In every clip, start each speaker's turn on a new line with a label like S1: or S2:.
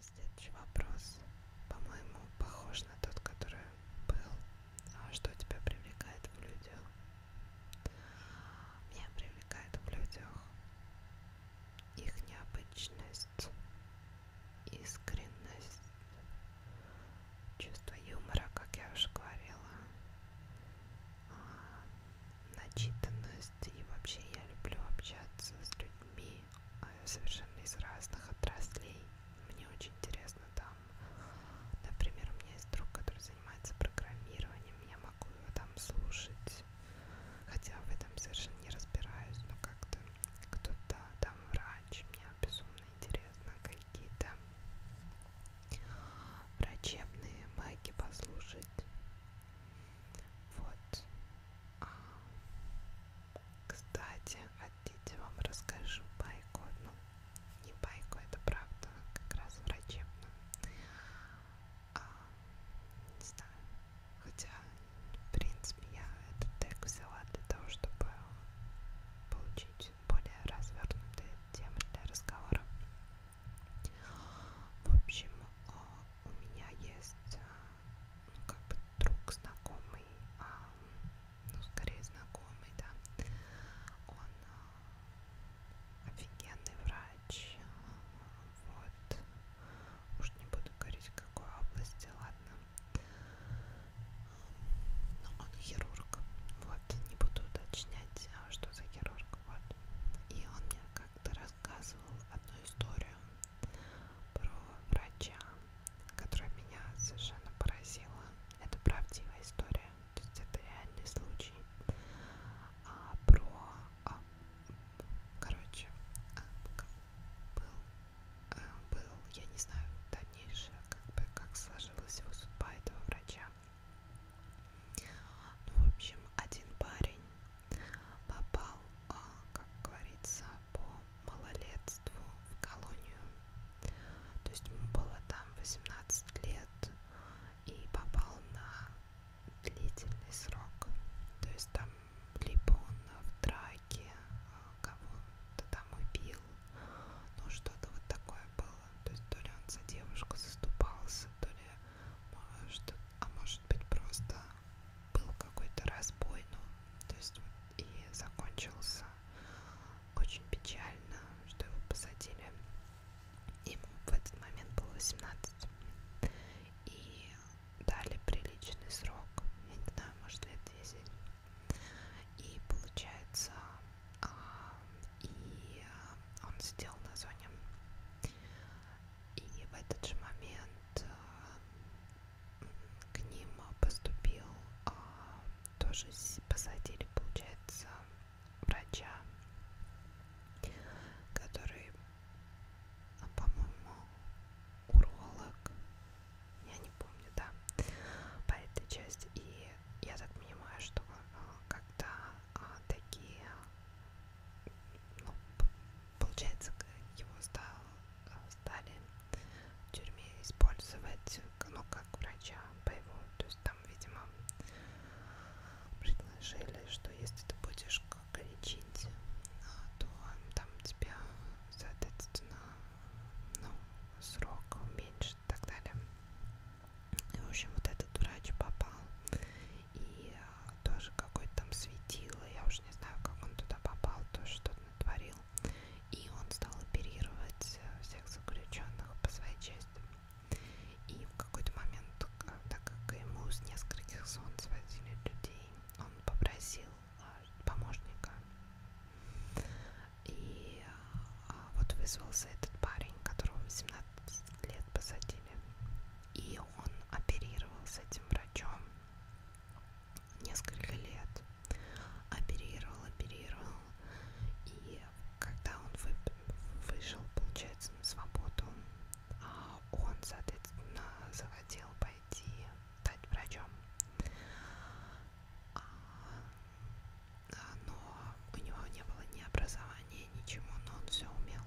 S1: Следующий вопрос, по-моему, похож на тот, который был. А что тебя привлекает в людях? Меня привлекает в людях их необычность, искренность, чувство юмора, как я уже говорила, а, начитанность и вообще я люблю общаться с людьми а, совершенно из разных отраслей. Мне очень интересно там, например, у меня есть друг, который занимается программированием, я могу его там слушать здесь. Хотя в этом совершенно не разбираюсь, но как-то кто-то там врач, мне безумно интересно, какие-то врачебные байки послушать. Вот. А, кстати, хотите, вам расскажу байку одну. Не байку, это правда, как раз врачебную а, не знаю, хотя, в принципе, я этот тег взяла для того, чтобы получить более развернутые темы для разговора. В общем, а, у меня есть, а, ну, как бы, друг знакомый, а, ну, скорее знакомый, да, он офигенный врач, вот, уж не буду говорить в какой области, ладно. Но ну, он хирург, вот, не буду уточнять, а, что за хирург, вот. И он мне как-то рассказывал одну историю про врача, которая меня совершенно поразила. Это правдивая история, то есть это реальный случай. А, про а, короче, был, э, был, я не знаю, дальнейшее, как бы, как сложилась его судьба этого врача. Ну, в общем, один парень попал, а, как говорится, по малолетству в колонию. То есть ему было там 18 лет и попал на длительный срок. То есть там либо он в драке а, кого-то там убил, ну что-то вот такое было. То есть то ли он за девушку заступался, то ли что, а может быть просто был какой-то разбой, ну, то есть вот и закончился очень печально, что его посадили. Ему в этот момент было 18. И дали приличный срок, я не знаю, может лет 10. И получается, а, и а, он сидел на зоне. И в этот же момент а, к ним поступил, тоже посадили, получается, врача, который а по-моему уролог, я не помню, да, по этой части. И я так понимаю, что а, когда а, такие, ну, получается, его стал, стали в тюрьме использовать, ну, как врача боевого, то есть там, видимо, предложили, что если ты будешь как лечить, а, то там тебя, соответственно, ну, срок уменьшит и так далее. И, в общем, вот этот врач попал. И а, тоже какой-то там светило, я уже не знаю, как он туда попал, тоже что-то натворил. И он стал оперировать э, всех заключенных по своей части. И какой-то момент, э, так как ему с нескольких зон свозили людей, он попросил э, помощника. И э, вот вызвался этот парень, которого 18 лет посадили. И он оперировал с этим врачом несколько лет. Оперировал, оперировал. И когда он вышел, получается, на свободу, а он, соответственно, захотел пойти стать врачом. А, а, но у него не было ни образования, ничего, но он все умел.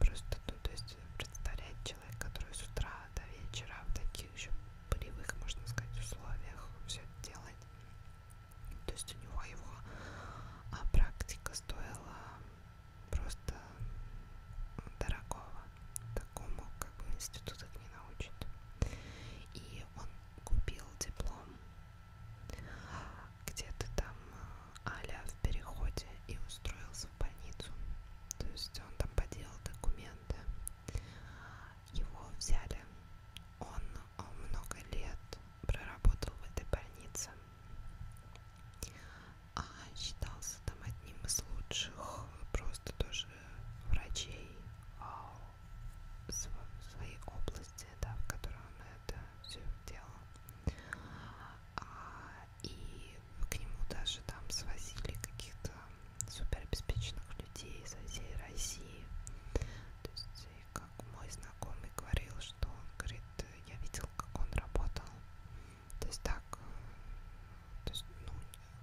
S1: Просто, ну, то есть, представлять человек, который с утра до вечера в таких же полевых, можно сказать, условиях все это делает. То есть у него его практика стоила просто дорогого. Такому как бы институт их не научит. И он купил диплом где-то там э, Аля в переходе и устроился в больницу. То есть он там поделал документы. Его взяли. Он, он э, много лет проработал в этой больнице а, считался там одним из лучших просто тоже врачей а, св своей области, да, в которой он это все делал. А, и к нему даже там свозили каких-то суперобеспеченных людей со всей России. То есть, как мой знакомый говорил, что он говорит, я видел, как он работал то есть так, э, то есть, ну,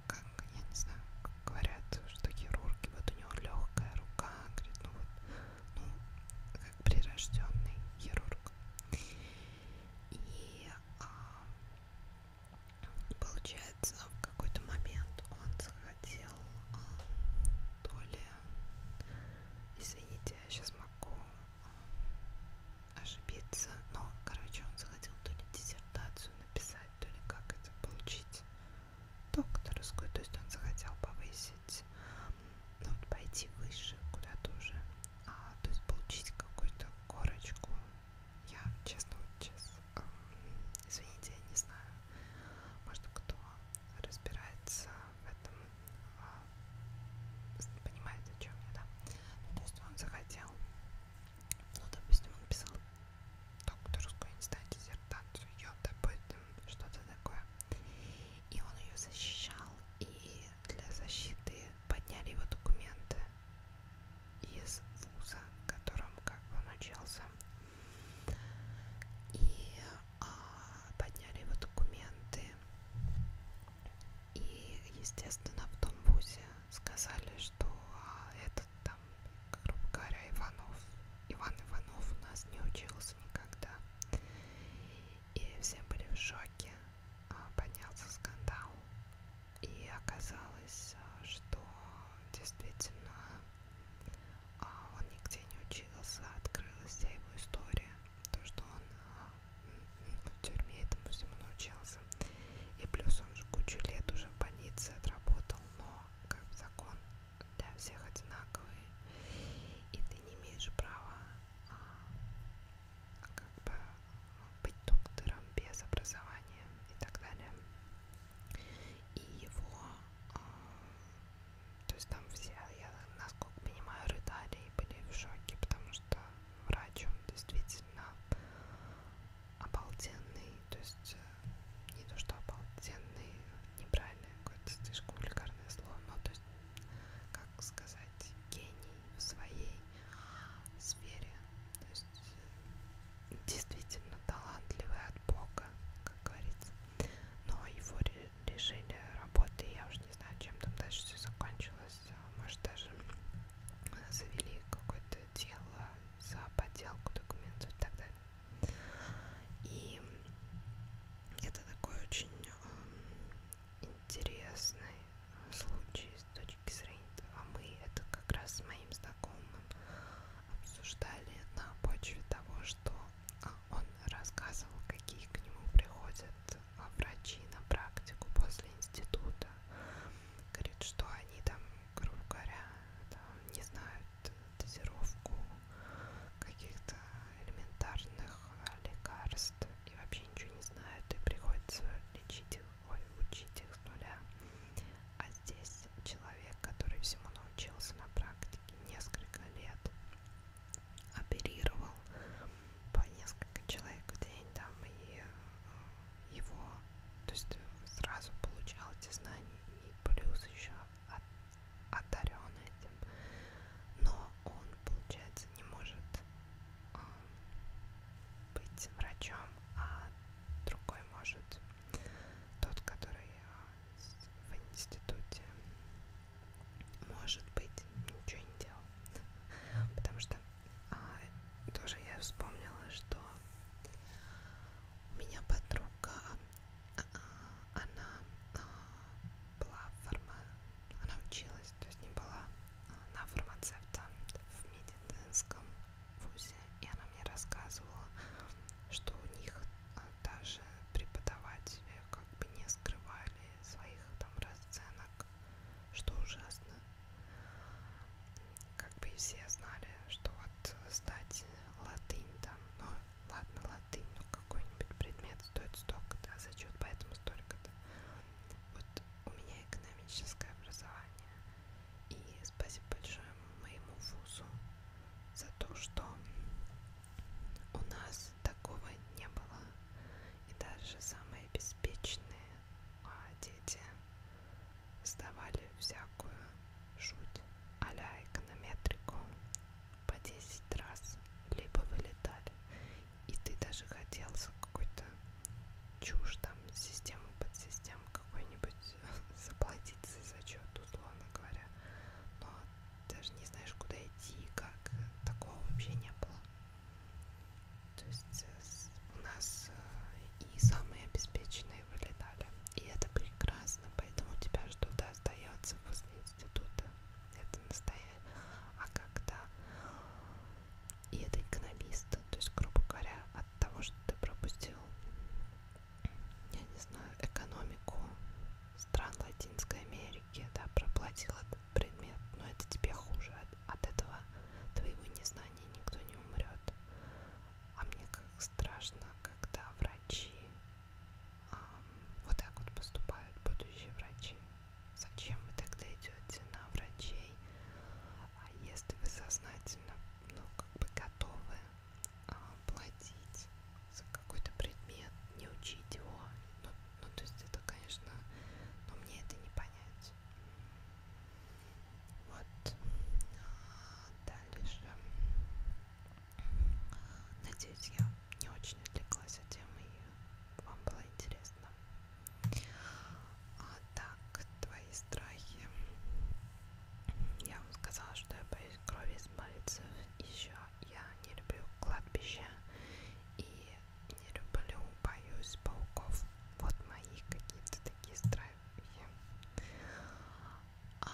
S1: как, я не знаю, говорят, что хирурги, вот у него легкая рука, говорит, ну вот, ну, как прирожденный хирург. И а, получается, в какой-то момент он захотел а, то ли, извините, я сейчас могу ошибиться, но, короче, он захотел то ли диссертацию написать, то ли как это получить докторскую, то есть он захотел повысить, ну, вот пойти выше куда-то уже, а, то есть получить какую-то корочку. Я, честно, вот сейчас, эм, извините, я не знаю, может, кто разбирается в этом а, понимаете, о чем я, да? Ну, то есть он захотел, ну, допустим, он писал докторскую, не знаю, диссертацию, ее, допустим, что-то такое. И он ее защищал, и для защиты подняли его документы из вуза, которым как бы он учился. И а, подняли его документы и, естественно, в том вузе сказали, что а, этот там, грубо говоря, Иванов, Иван Иванов у нас не учился никогда. И все были в шоке, а, поднялся скандал. И оказалось, а, что действительно он нигде не учился, открылась вся его история, то, что он в тюрьме этому всему научился. И плюс он же кучу лет уже в больнице отработал, но как закон для всех одинаковый. И ты не имеешь права а, как бы быть доктором без образования и так далее. И его, а, то есть там все, я насколько понимаю, рыдали и были в шоке, потому что врач, он действительно обалденный, то есть э, не то что обалденный, неправильное какое-то слишком вульгарное слово, но то есть, как сказать, гений в своей сфере, то есть э, действительно талантливый от Бога, как говорится, но его лишили работы, я уже не знаю, чем там дальше все закончилось, а, может даже э, завели какое-то дело за подделку документов и так далее. И это такой очень эм, э, интересный случай с точки зрения, а мы это как раз с моим знакомым обсуждали на почве того, что э, он рассказывал, какие к нему приходят а, врачи на практику после института. Говорит, что они там, грубо говоря, там, не знают дозировку каких-то элементарных а, лекарств и вообще ничего не знают, и приходится лечить их, ой, учить их с нуля. А здесь человек, который всему научился на практике несколько лет, оперировал по несколько человек в день там и э, его, то есть сразу получал эти знания и плюс еще от, одарен этим, но он, получается, не может э, быть врачом, а другой может, тот, который э, в институте может быть, ничего не делал. Потому что а, тоже я вспомнила, что у меня подруга, а, а, она а, была форма, она училась, то есть не была а, на фармацевта в медицинском вузе, и она мне рассказывала, что у них а, даже преподаватели как бы не скрывали своих там расценок, что ужасно. Как бы и все знали, что вот сдать латынь там, ну ладно, латынь, но ну, какой-нибудь предмет стоит столько-то, а зачет поэтому столько-то. Вот у меня экономическое образование. И спасибо большое моему вузу за то, что у нас такого не было. И даже самые беспечные а, дети сдавали всякую жуть а-ля эконометрику по 10 раз, либо вылетали. И ты даже хотел за какой-то чушь там, систему под систему какой-нибудь заплатить за зачет, условно говоря. Но даже не знаешь, куда идти, как э, такого вообще не было. То есть э, у нас э, и самые обеспеченные вылетали. И это прекрасно, поэтому у тебя что-то остается после института. Это настоящее. А когда и это экономист, то есть, грубо говоря, от того, что ты пропустил, я не знаю, экономику, стран Латинской Америки, да, проплатил этот предмет, но это тебе хуже. От, от этого твоего незнания никто не умрет. А мне как страшно, когда врачи эм, вот так вот поступают будущие врачи. Зачем вы тогда идете на врачей? А если вы сознательно, ну, как бы готовы э, платить за какой-то предмет, не учить его. Ну, ну, то есть это, конечно, но мне это не понять. Вот. А дальше. Надеюсь, я не очень отвлеклась от темы и вам было интересно. А, так, твои страхи. Я вам сказала, что я боюсь крови, избавиться еще я не люблю кладбища и не люблю, боюсь, пауков. Вот мои какие-то такие страхи. А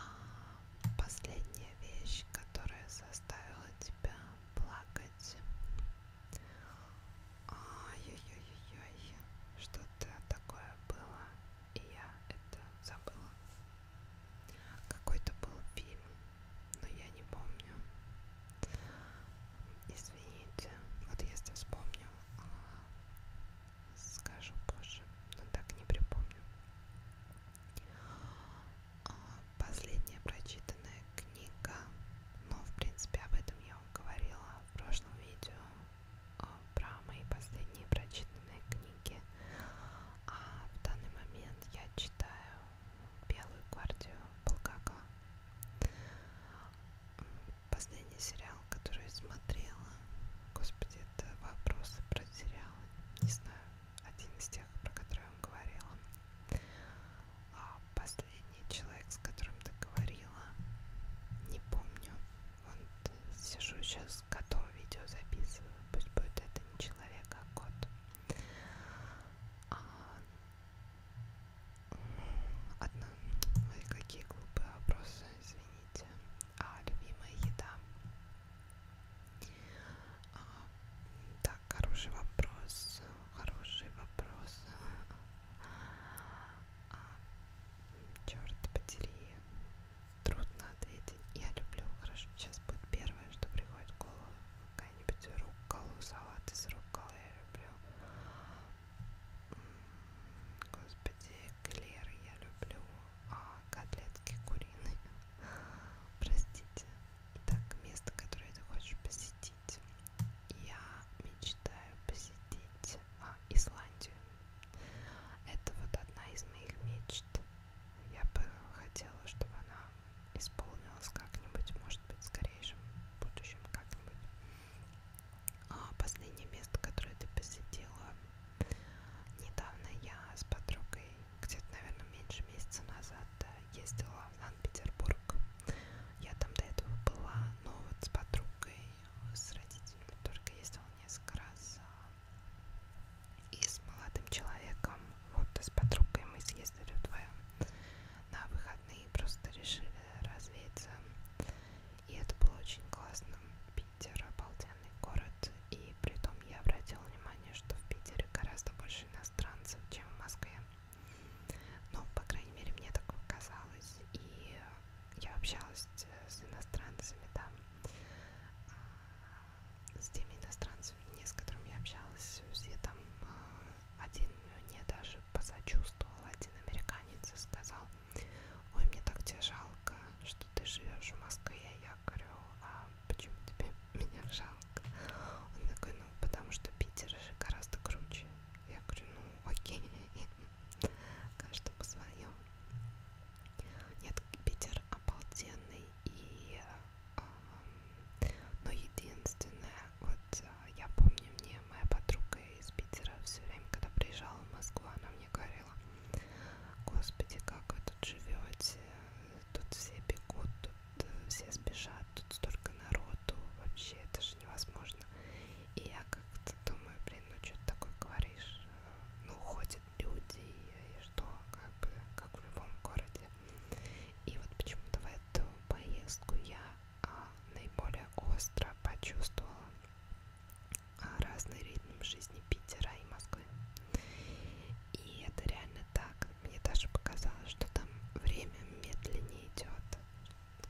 S1: последняя вещь, которая заставила тебя плакать. Ай-яй-яй-яй, что-то такое было, и я это забыла. Какой-то был фильм, но я не помню. Извините, вот если вспомню, скажу позже, но так не припомню. А, последняя прочитанная книга, но в принципе об этом я вам говорила в прошлом видео а, про мои последние прочитанные книги. А в данный момент я читаю Белую гвардию Булгакова. Последний сериал, который я смотрела, господи, это вопросы про сериалы. Не знаю, один из тех, про которые я вам говорила. А последний человек, с которым ты говорила, не помню. Вот сижу сейчас, готов видео записываю. Пусть будет это не человек, а кот. А, одна... Ой, какие глупые вопросы, извините. А, любимая еда? А, так, хороший вопрос, хороший вопрос. А, черт подери, трудно ответить. Я люблю, хорошо, сейчас будет первое, что приходит в голову какая-нибудь рукколу, салат из рукколы я люблю. Господи, эклеры я люблю, а котлетки куриные. Простите. Так, место, которое ты хочешь посетить. Я мечтаю посетить а, Исландию. Это вот одна из моих мечт. Я бы хотела, чтобы она исполнилась как-нибудь, может быть, в скорейшем будущем как-нибудь. А последнее место, которое ты посетила недавно, я с подругой где-то, наверное, меньше месяца назад ездила в Санкт-Петербург. Я там до этого была, но вот с подругой, с родителями только ездила несколько раз а и с молодым человеком, вот с подругой мы съездили вдвоем на выходные, просто решили развеяться. И это было очень классно. Питер обалденный город, и при том я обратила внимание, что в Питере гораздо больше иностранцев, чем в Москве. Ну, по крайней мере, мне так казалось. И я общалась с иностранцами там с теми иностранцами, не с которыми я общалась, все там а, один мне даже посочувствовал, один американец и сказал, ой, мне так тебя жалко, что ты живешь в Москве, я говорю, а почему тебе меня жалко? Он такой, ну, потому что Питер же гораздо круче. Я говорю, ну, окей, каждому свое. Нет, Питер обалденный и а, но единственное, вот а, я помню, мне моя подруга из Питера все время, когда приезжала в Москву, она мне говорила, господи, как вы тут живете, тут все бегут, тут э, все спешат, тут столько народу, вообще это же невозможно. И я как-то думаю, блин, ну что ты такое говоришь? Э, ну, ходят люди, и что, как бы, как в любом городе. И вот почему-то в эту поездку я а, наиболее остро почувствовала а, разный ритм жизни Питера и Москвы. И это реально так. Мне даже показалось, что там время медленнее идет.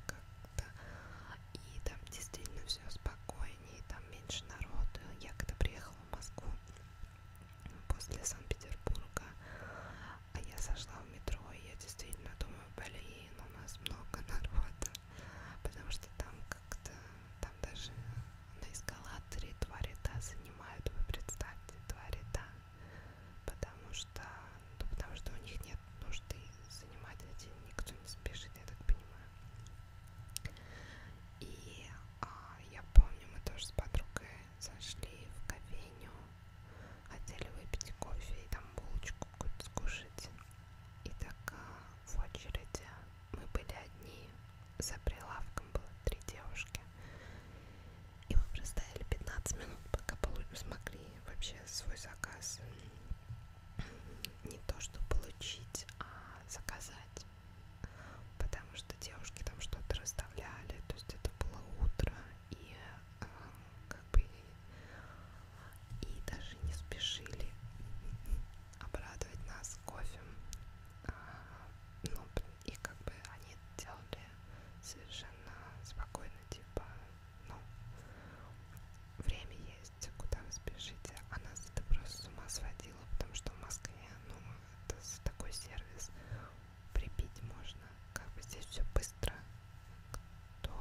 S1: Как-то. И там действительно все спокойнее, там меньше народу. Я когда приехала в Москву, после Санкт-Петербурга. А я сошла в метро, и я действительно думаю, блин, у нас много народа. Потому что там как-то, там даже на эскалаторе два ряда занимают, вы представьте, два ряда. Потому что, ну, потому что у них нет нужды занимать один, никто не спешит, я так понимаю. И а я помню, мы тоже с подругой зашли в кофейню, хотели выпить кофе и там булочку какую-то скушать. И так а, в очереди мы были одни, за прилавком было три девушки. И мы простояли 15 минут, пока смогли вообще свой заказ не то что получить, а заказать потому что девушки там что-то расставляли, то есть это было утро, и э, как бы и даже не спешили обрадовать нас кофе. А, ну, и как бы они делали совершенно спокойно, типа, ну, время есть, куда вы спешите. А нас это просто с ума сводило, потому что в Москве, ну, такой сервис прибить можно. Как бы здесь все быстро. Кто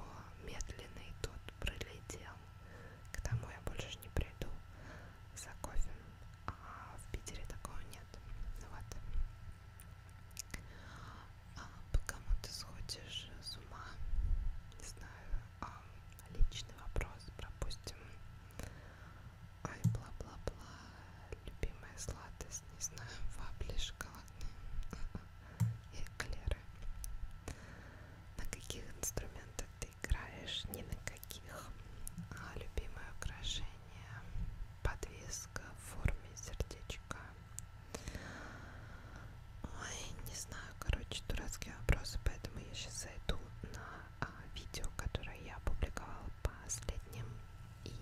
S1: медленный, тот пролетел. К тому я больше не приду за кофе. А в Питере такого нет. Ну вот. А по кому ты сходишь с ума? Не знаю. А личный вопрос, допустим. Ай, бла-бла-бла, любимая сладость, не знаю, вапли шоколадные и эклеры. На каких инструментах ты играешь? Ни на каких. А любимое украшение, подвеска в форме сердечка. Ой, не знаю, короче, дурацкие вопросы, поэтому я сейчас зайду на а, видео, которое я опубликовала последним. И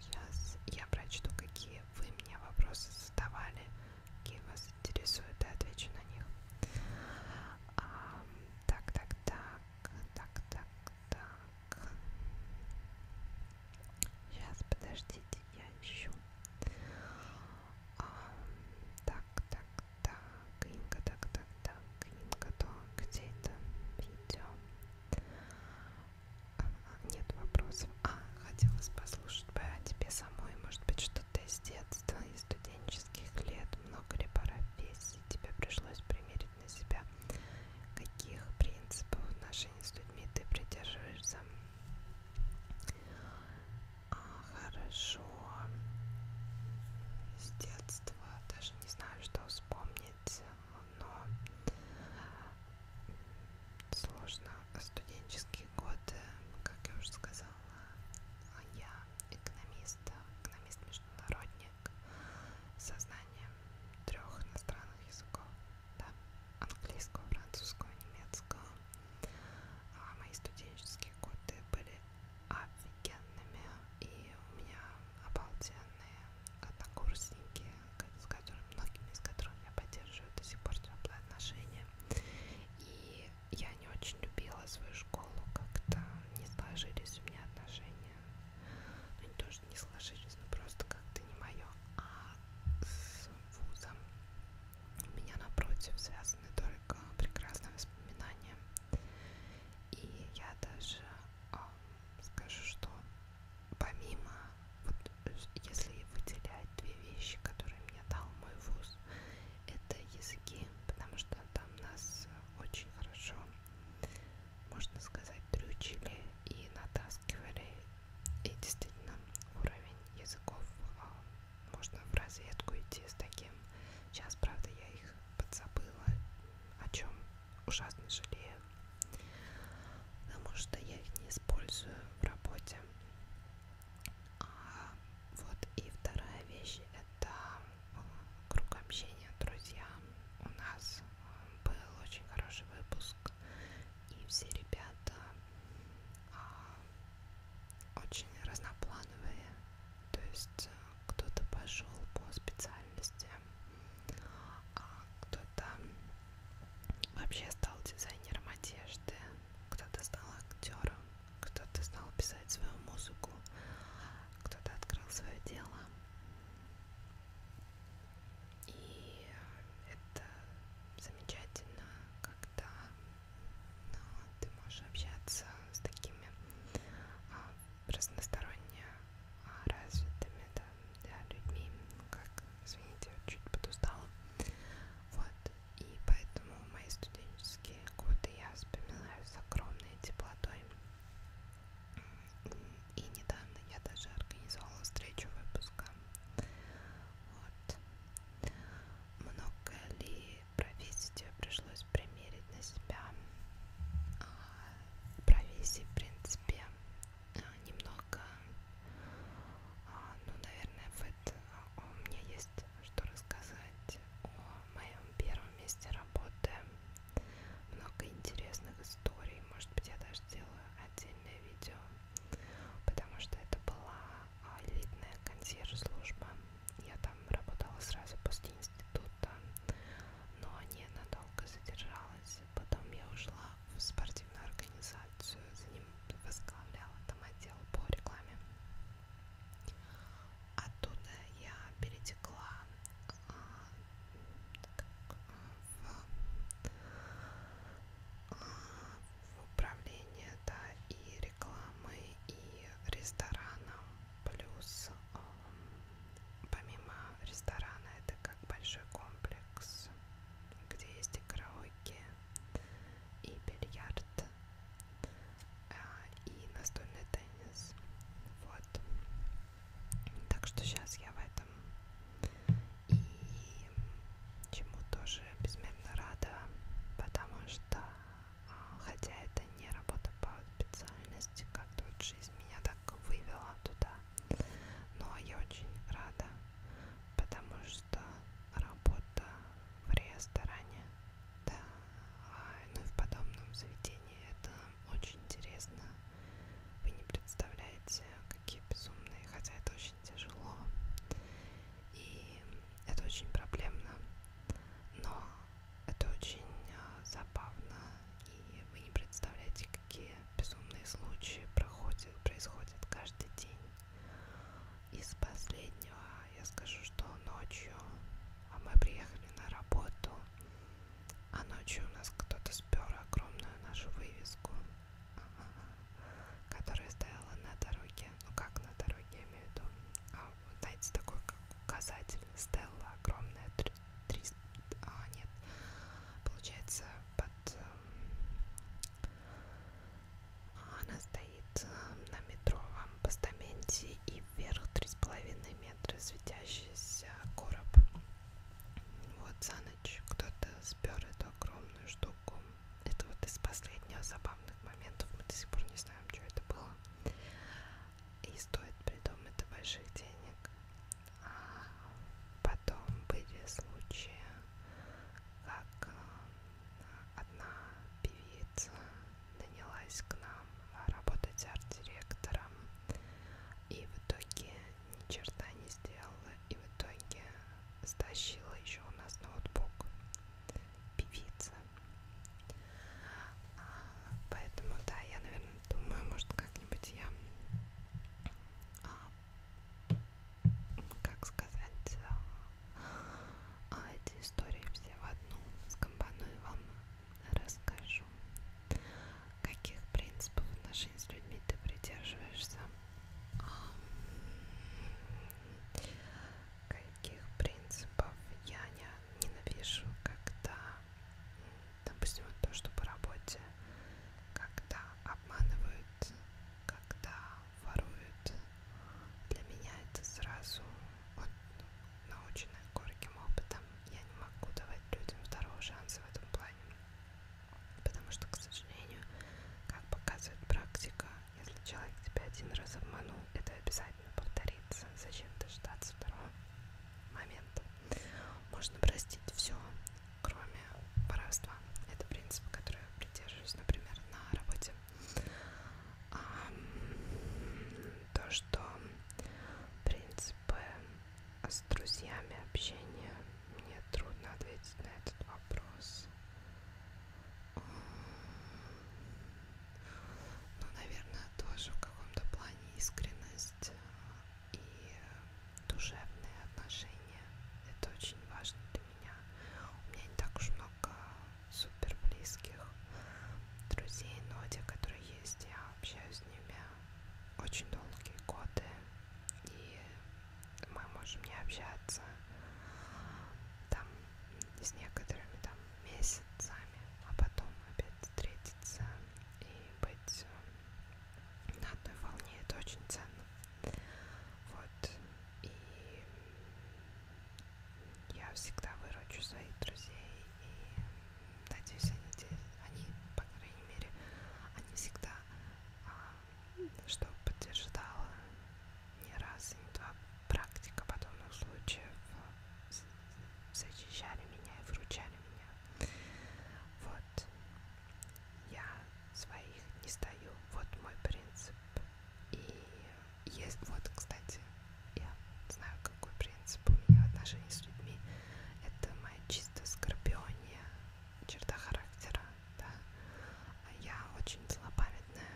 S1: сейчас я прочту, какие вы мне вопросы задавали, какие вас интересуют, и отвечу на них. А, так, так, так, так, так, так. Сейчас, подождите, я ищу. А, так, так, так, Инга, так, так, так, Инга, то где это видео? А, нет вопросов. А, хотелось послушать бы о тебе самой, может быть, что-то из детства, из студенческих лет, много ли профессий тебе пришлось примерить на себя? Каких принципов в отношении с людьми ты придерживаешься? А, хорошо. С детства даже не знаю, что вспомнить, но сложно. Студенческие годы, как я уже сказала, а я экономист, экономист-международник со знанием трех иностранных языков, да, английского, французского, немецкого. А мои студенческие годы были офигенными, и у меня обалденные однокурсники, с которыми, многими из которых я поддерживаю до сих пор теплые отношения. И я не очень любила свою школу, как-то не сложились у меня отношения. Ну, не то, что не сложились, но просто как-то не мое. А с вузом у меня напротив связаны только прекрасные воспоминания. И я даже э, скажу, что помимо, вот, если выделять две вещи, которые мне дал мой вуз, это языки, потому что там нас очень хорошо, можно сказать, трючили и натаскивали. И действительно, уровень языков э, можно в разведку идти с таким. Сейчас, правда, я их подзабыла, о чем ужасно жалею, потому что я их не использую в работе. А вот и вторая вещь это э, круг общения, друзья. У нас э, был очень хороший выпуск, и все ребята а, очень разноплановые, то есть э, кто-то пошел по специальности, а кто-то вообще стал дизайнером одежды, кто-то стал актером, кто-то стал писать свою музыку, кто-то открыл свое дело. И это замечательно, когда ну, ты можешь общаться с такими а, разносторонне а, развитыми да, для людьми, ну, как, извините, чуть подустала. Вот, и поэтому мои студенческие годы я вспоминаю с огромной теплотой. И недавно я даже организовала встречу выпуска. Вот. Много ли профессию пришлось примерить на себя. А, Профессии, в принципе, а, немного, а, ну, наверное, в это у меня есть что рассказать о моем первом месте работы. Много интересных историй. Может быть, я даже сделаю отдельное видео, потому что это была элитная консьерж-служба. Я там работала сразу после института, но ненадолго задержалась. Потом я ушла в спортивную организацию, за ним возглавляла там отдел по рекламе. Оттуда я перетекла а, как, а, в, а, в управление да, и рекламы, и рестораном, плюс Эм, помимо ресторана это как большой комплекс, где есть и караоке, и бильярд, а, и настольный теннис. Вот. Так что сейчас я в этом и чему тоже безмерно рада, потому что а, хотя это не работа по специальности, как-то вот жизнь меня так вывела туда. Но я очень рада, потому что работа в ресторане, да, а, ну и в подобном заведении, это очень интересно. Вы не представляете, какие безумные, хотя это очень тяжело. И это очень проблемно, но это очень а, забавно, и вы не представляете, какие безумные случаи проходят, происходят каждый день. Из последнего я скажу, что ночью а мы приехали на работу, а ночью у нас кто-то спер огромную нашу вывеску, которая стояла на дороге, ну как на дороге, я имею в виду, а вот знаете, такой как указатель Стелла, огромная, 300, а нет, получается под, эм, а, она стоит эм, на метровом постаменте и вверх 3,5 метра светящийся короб. Вот за ночь кто-то спер эту огромную штуку. Это вот из последних забавных моментов, мы до сих пор не знаем, что это было и стоит при том это больших денег. А потом были случаи, как э, одна певица нанялась к нам работать арт-директором и в итоге ни черта не сделала и в итоге стащила еще у нас ноутбук певица Поэтому, да, я, наверное, думаю, может, как-нибудь я, а, как сказать, а, эти истории все в одну скомпоную вам расскажу. Каких принципов отношений с людьми ты придерживаешься? А, каких принципов я не ненавижу, когда, допустим, вот то, что по работе, когда обманывают, когда воруют, для меня это сразу вот, наученная горьким опытом. Я не могу давать людям второго шанса в этом плане. Потому что, к сожалению, как показывает практика, если человек тебя один раз обманул, это обязательно обязательно повторится. Зачем дождаться второго момента? Можно простить все, кроме воровства. Это принцип, который я придерживаюсь, например, на работе. А, то, что принципы с друзьями общения, мне трудно ответить на этот вопрос ну, наверное, тоже в каком-то плане искренность э, и душевные отношения. Это очень важно для меня. У меня не так уж много супер близких друзей, но те, которые есть, я общаюсь с ними очень долгие годы. И мы можем не общаться там с некоторыми там месяцами, а потом опять встретиться и быть э, на одной волне, это очень ценно. Вот, и я всегда выручу своих друзей и надеюсь, они, они по крайней мере, они всегда, а, что подтверждала не раз и не два, практика подобных случаев защищали меня и выручали меня. Вот. Я своих не стою. Вот мой принцип. И есть... Вот, кстати, я знаю, какой принцип у меня в отношении с людьми. Это моя чисто скорпиония черта характера, да. Я очень злопамятная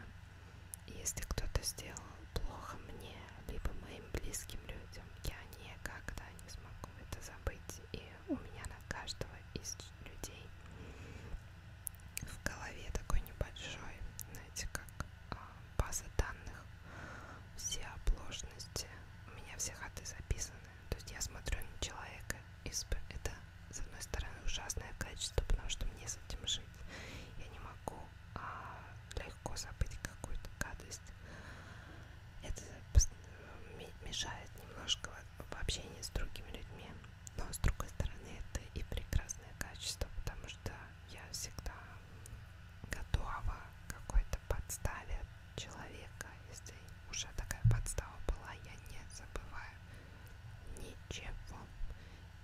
S1: если кто-то сделал плохо мне, либо моим близким людям, я никогда не смогу это забыть. И у меня на каждого из людей в голове такой небольшой, знаете, как а, база данных, все оплошности, у меня все хаты записаны. То есть я смотрю на человека, и это, с одной стороны, ужасное качество, потому что мне с этим жить. Я не могу а легко забыть какую-то гадость. Это мешает немножко в общении с другими людьми. Но с другой стороны, это и прекрасное качество, потому что я всегда готова к какой-то подставе человека. Если уже такая подстава была, я не забываю ничего.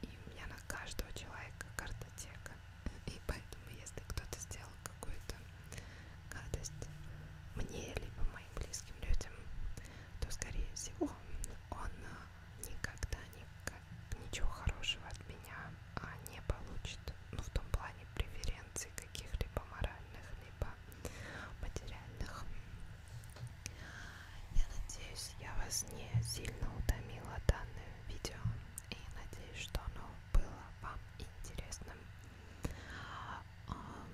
S1: И у меня на каждого человека картотека. И поэтому, если кто-то сделал какую-то гадость мне, либо моим близким людям, то, скорее всего, он а, никогда никак, ничего хорошего от меня а, не получит. Ну, в том плане преференций каких-либо моральных, либо материальных. Я надеюсь, я вас не сильно утомила данной видео и надеюсь, что оно было вам интересным. А, а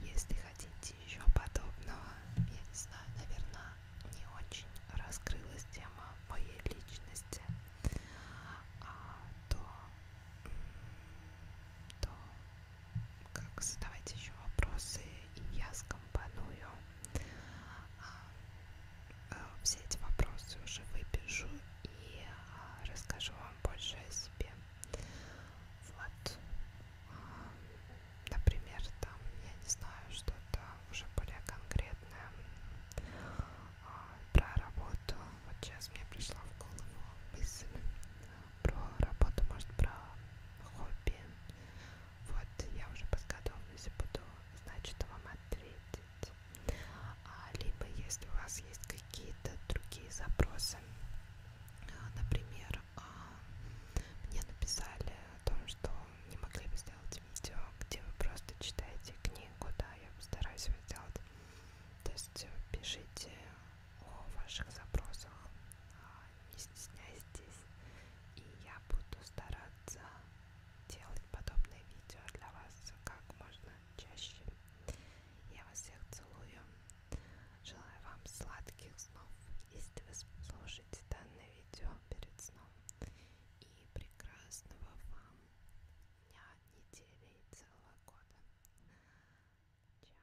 S1: если хотите еще подобного, я не знаю, наверное, не очень раскрылась тема моей личности, а, то, то как задавайте еще вопросы, и я скомпоную а, э, все эти вопросы уже выпишу и а, расскажу вам больше о себе. Вот, а, например, там, я не знаю, что-то уже более конкретное про работу. Вот сейчас мне пришла в голову мысль про работу, может, про хобби, вот я уже под готовность буду, значит, вам ответить. А, либо, если у вас есть какие-то другие запросы, а, например, а, мне написали о том, что не могли бы сделать видео, где вы просто читаете книгу, да, я постараюсь его сделать. То есть э, пишите о ваших запросах, а, не стесняйтесь, и я буду стараться делать подобные видео для вас как можно чаще. Я вас всех целую. Желаю вам сладких снов, если вы слушаете данное видео перед сном. И прекрасного вам дня, недели и целого года. Чао.